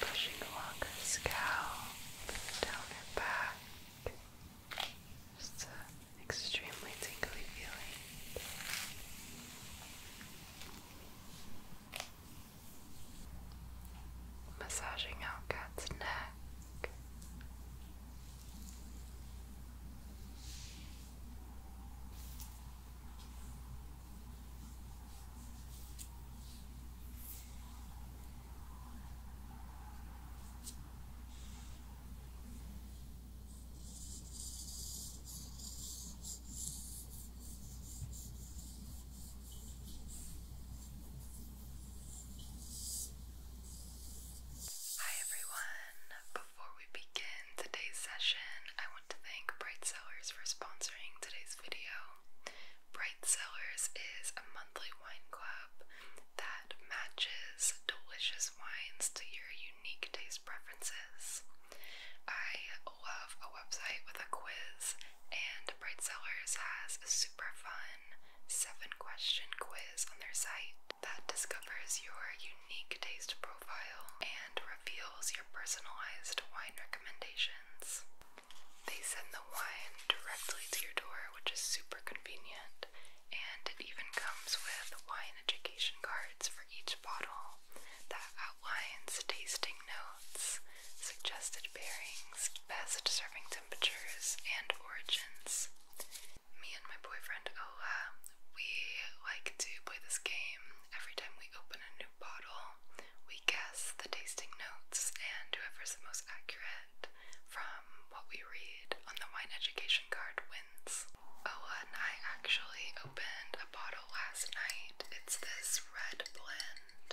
Pushing along her scalp, down her back. Just an extremely tingly feeling. Massaging out Cat's neck. Hi everyone! Before we begin, in today's session, I want to thank Bright Sellers for sponsoring today's video. Bright Sellers is a monthly wine club that matches delicious wines to your unique taste preferences. I love a website with a quiz, and Bright Sellers has a super fun seven question quiz on their site that discovers your unique taste profile and reveals your personalized wine recommendations. They send the wine directly to your door, which is super convenient, and it even comes with wine education cards for each bottle that outlines tasting notes, suggested pairings, best serving temperatures, and origins. Me and my boyfriend Ola, we like to play this game every time we open a new bottle, we guess the tasting notes, and whoever's the most accurate from what we read on the wine education card wins. Oh, and I actually opened a bottle last night. It's this red blend.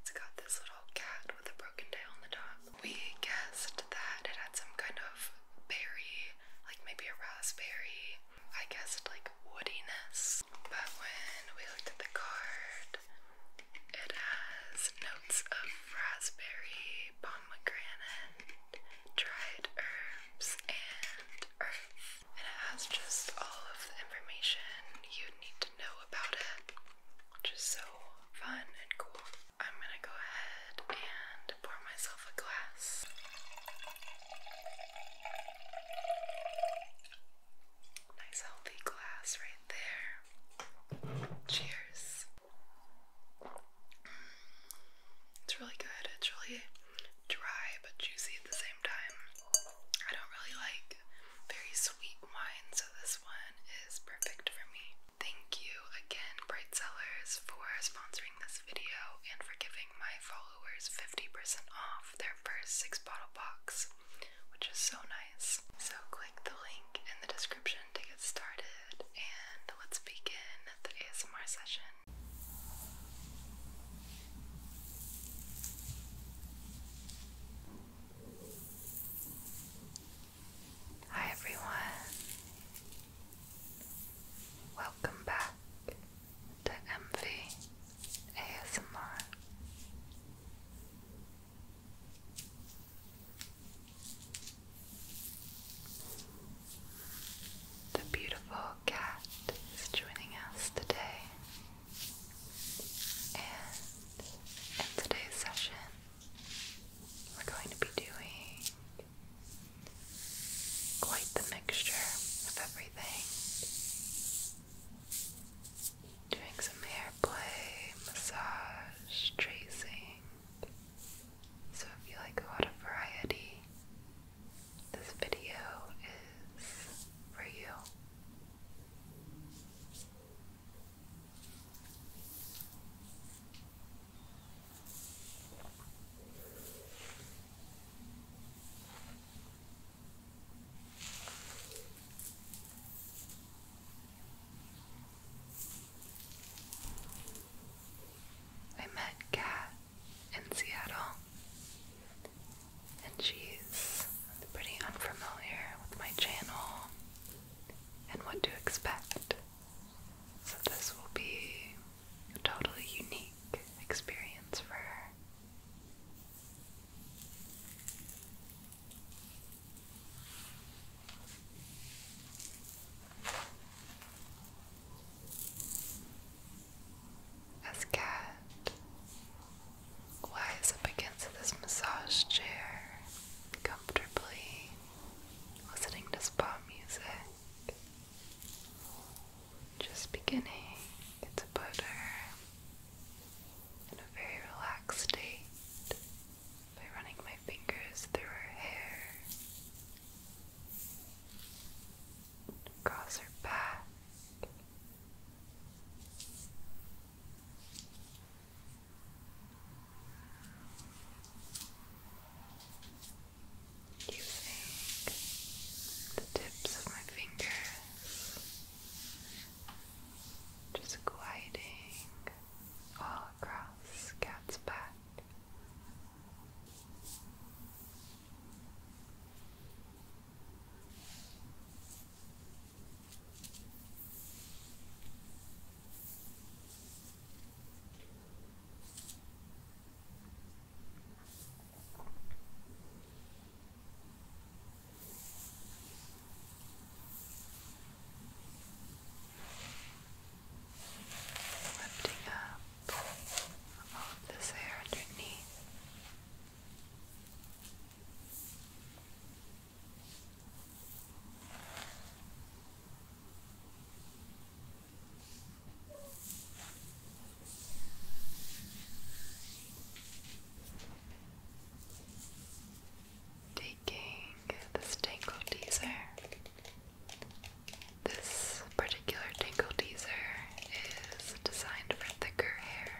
It's got this little cat with a broken tail on the top. We guessed that it had some kind of berry, like maybe a raspberry I guessed like woodiness. But when we looked at the card, it has notes of raspberry, pomegranate, dried herbs, and earth. And it has just all of the information you need to know about it, which is so fun and cool. I'm gonna go ahead and pour myself a glass. Nice healthy glass right there. Cheers. Mm, it's really good. It's really dry but juicy at the same time. I don't really like very sweet wine, so this one is perfect for me. Thank you again, Bright Sellers, for sponsoring this video and for giving my followers 50% off their first 6 bottle box, which is so nice. So click the link in the description to get started and let's begin the ASMR session. Hi everyone. Welcome back to MV ASMR. The beautiful cat is joining us today, and in today's session, we're going to be doing Quite the mixture of everything. Doing some hair play, massage, tracing. So if you like a lot of variety, this video is for you. I met Kat in Seattle, and she's pretty unfamiliar with my channel and what to expect. So, this will be a totally unique experience for her. Cat lies up against this massage chair comfortably, listening to spa music, just beginning. It's butter in a very relaxed state by running my fingers through her hair, across her back using the tips of my fingers, just gliding all across Cat's back. Lifting up all of this hair underneath. Taking this tangle teaser. This particular tangle teaser is designed for thicker hair.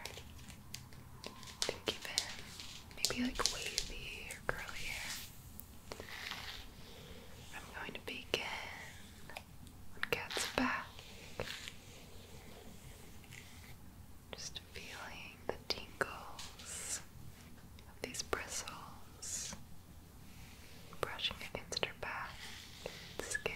even maybe like wavy or curly hair. I'm going to begin Gets back. Just feeling the tingles of these bristles brushing against her back skin.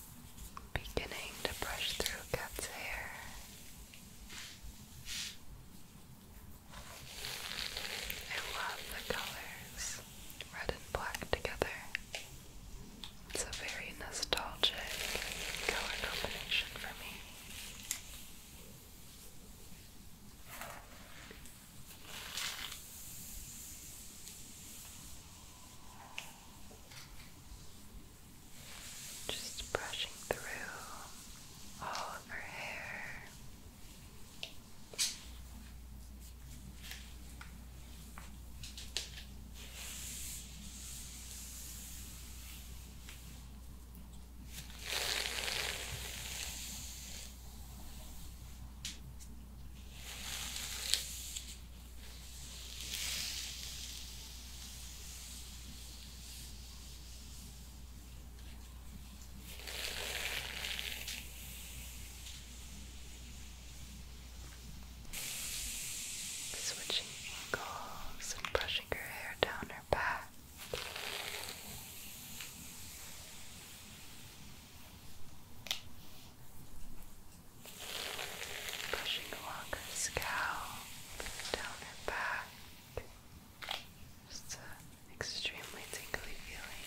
beginning to brush through cat's hair. I love the colors, red and black together. It's a very nostalgic color combination for me. Just brushing through all of her hair. Switching angles and brushing her hair down her back. Pushing along her scalp, down her back. Just an extremely tingly feeling.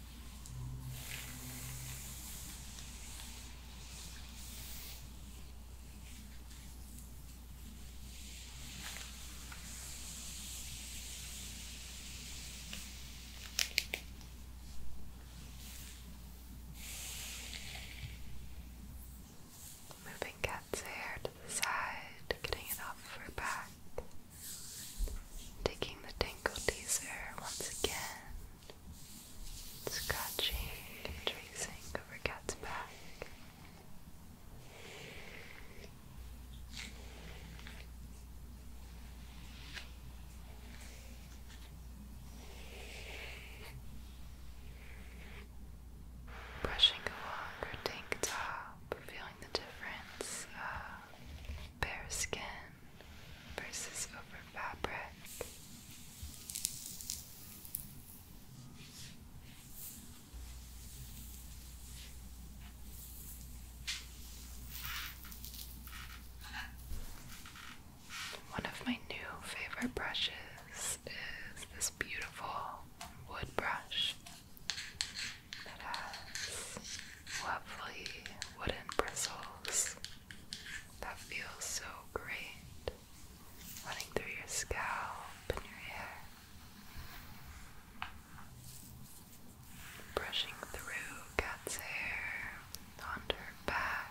Moving cat's hair to the side, getting it off her back. Taking the tangle teaser once again scratching and tracing over cat's back. Brushing along her tank top, feeling the difference of bare skin versus over fabric. One of my new favorite brushes is this beautiful wood brush that has lovely wooden bristles that feels so great running through your scalp and your hair. Brushing through Cat's hair onto her back.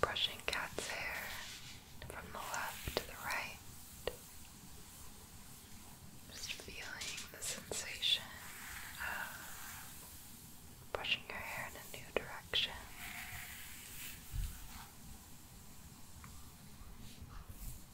Brushing cat's hair from the left to the right. Just feeling the sensation of brushing your hair in a new direction.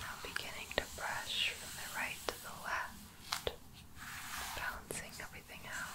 Now beginning to brush from the right to the left, balancing everything out.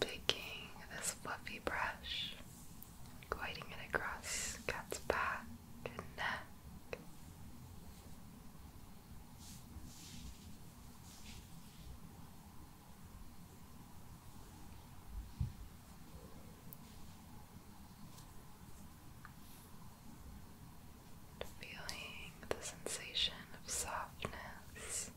Taking this fluffy brush, gliding it across cat's back and neck. Feeling the sensation of softness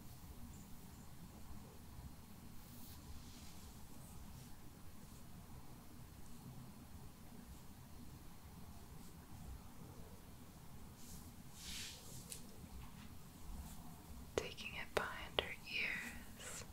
taking it behind her ears.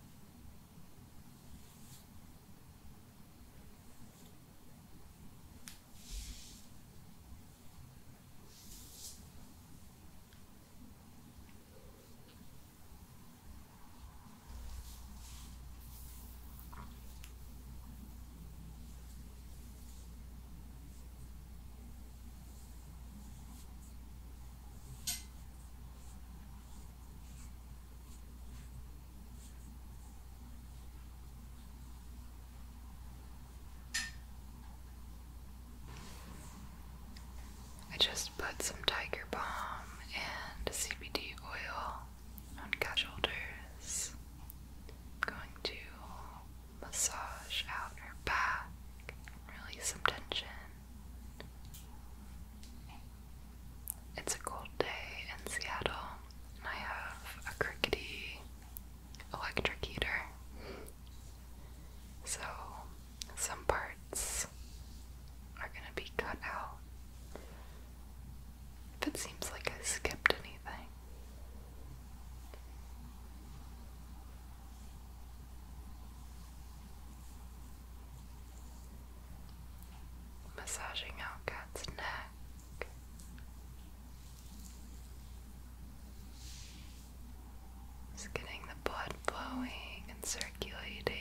I just put some Tiger Balm and CBD oil on cat shoulders. I'm going to massage out her back, release some tension. It's a cold day in Seattle, and I have a crickety electric heater. So, some parts are gonna be cut out. If it seems like I skipped anything. Massaging our Cat's neck. Just getting the blood flowing and circulating.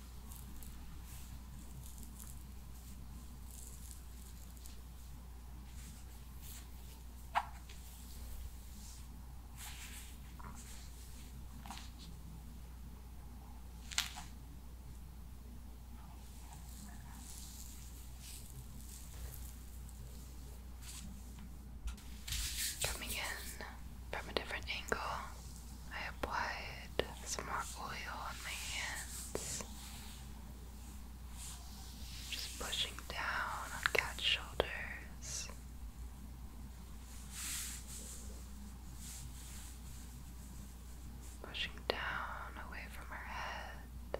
Coming in from a different angle. I applied some more oil on my hands. Just pushing down on cat's shoulders. Pushing down away from her head.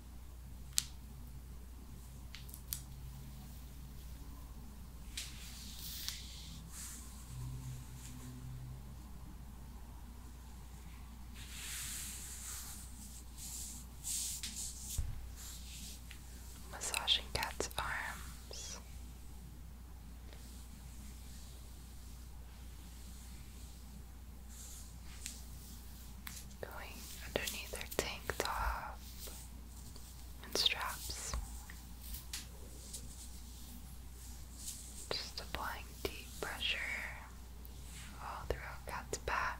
Massaging cat's arms going underneath her tank top and straps. Just applying deep pressure all throughout Cat's back.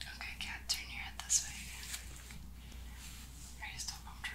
Okay, cat, turn your head this way. Are you still comfortable?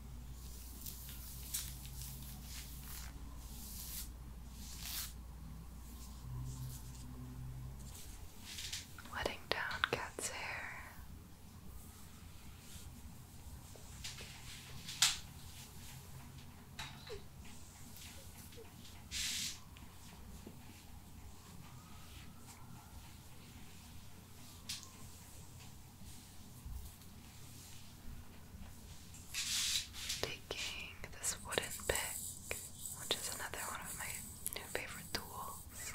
Letting down cat's hair. Taking this wooden pick, which is another one of my new favorite tools,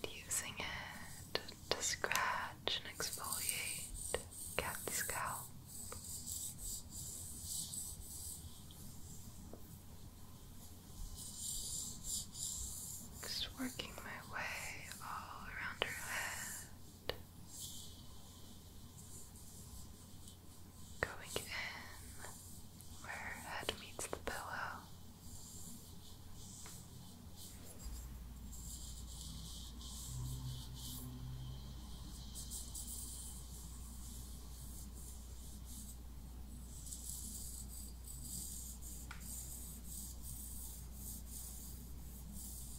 and using it to scratch and exfoliate cat scalp. Just working my way all around her head. Going in where head meets the pillow.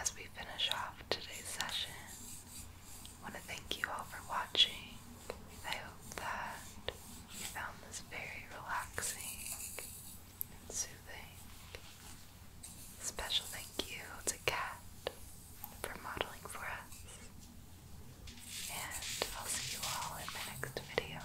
As we finish off today's session, I want to thank you all for watching. I hope that you found this very relaxing and soothing. Special thank you to Cat for modeling for us. And I'll see you all in my next video.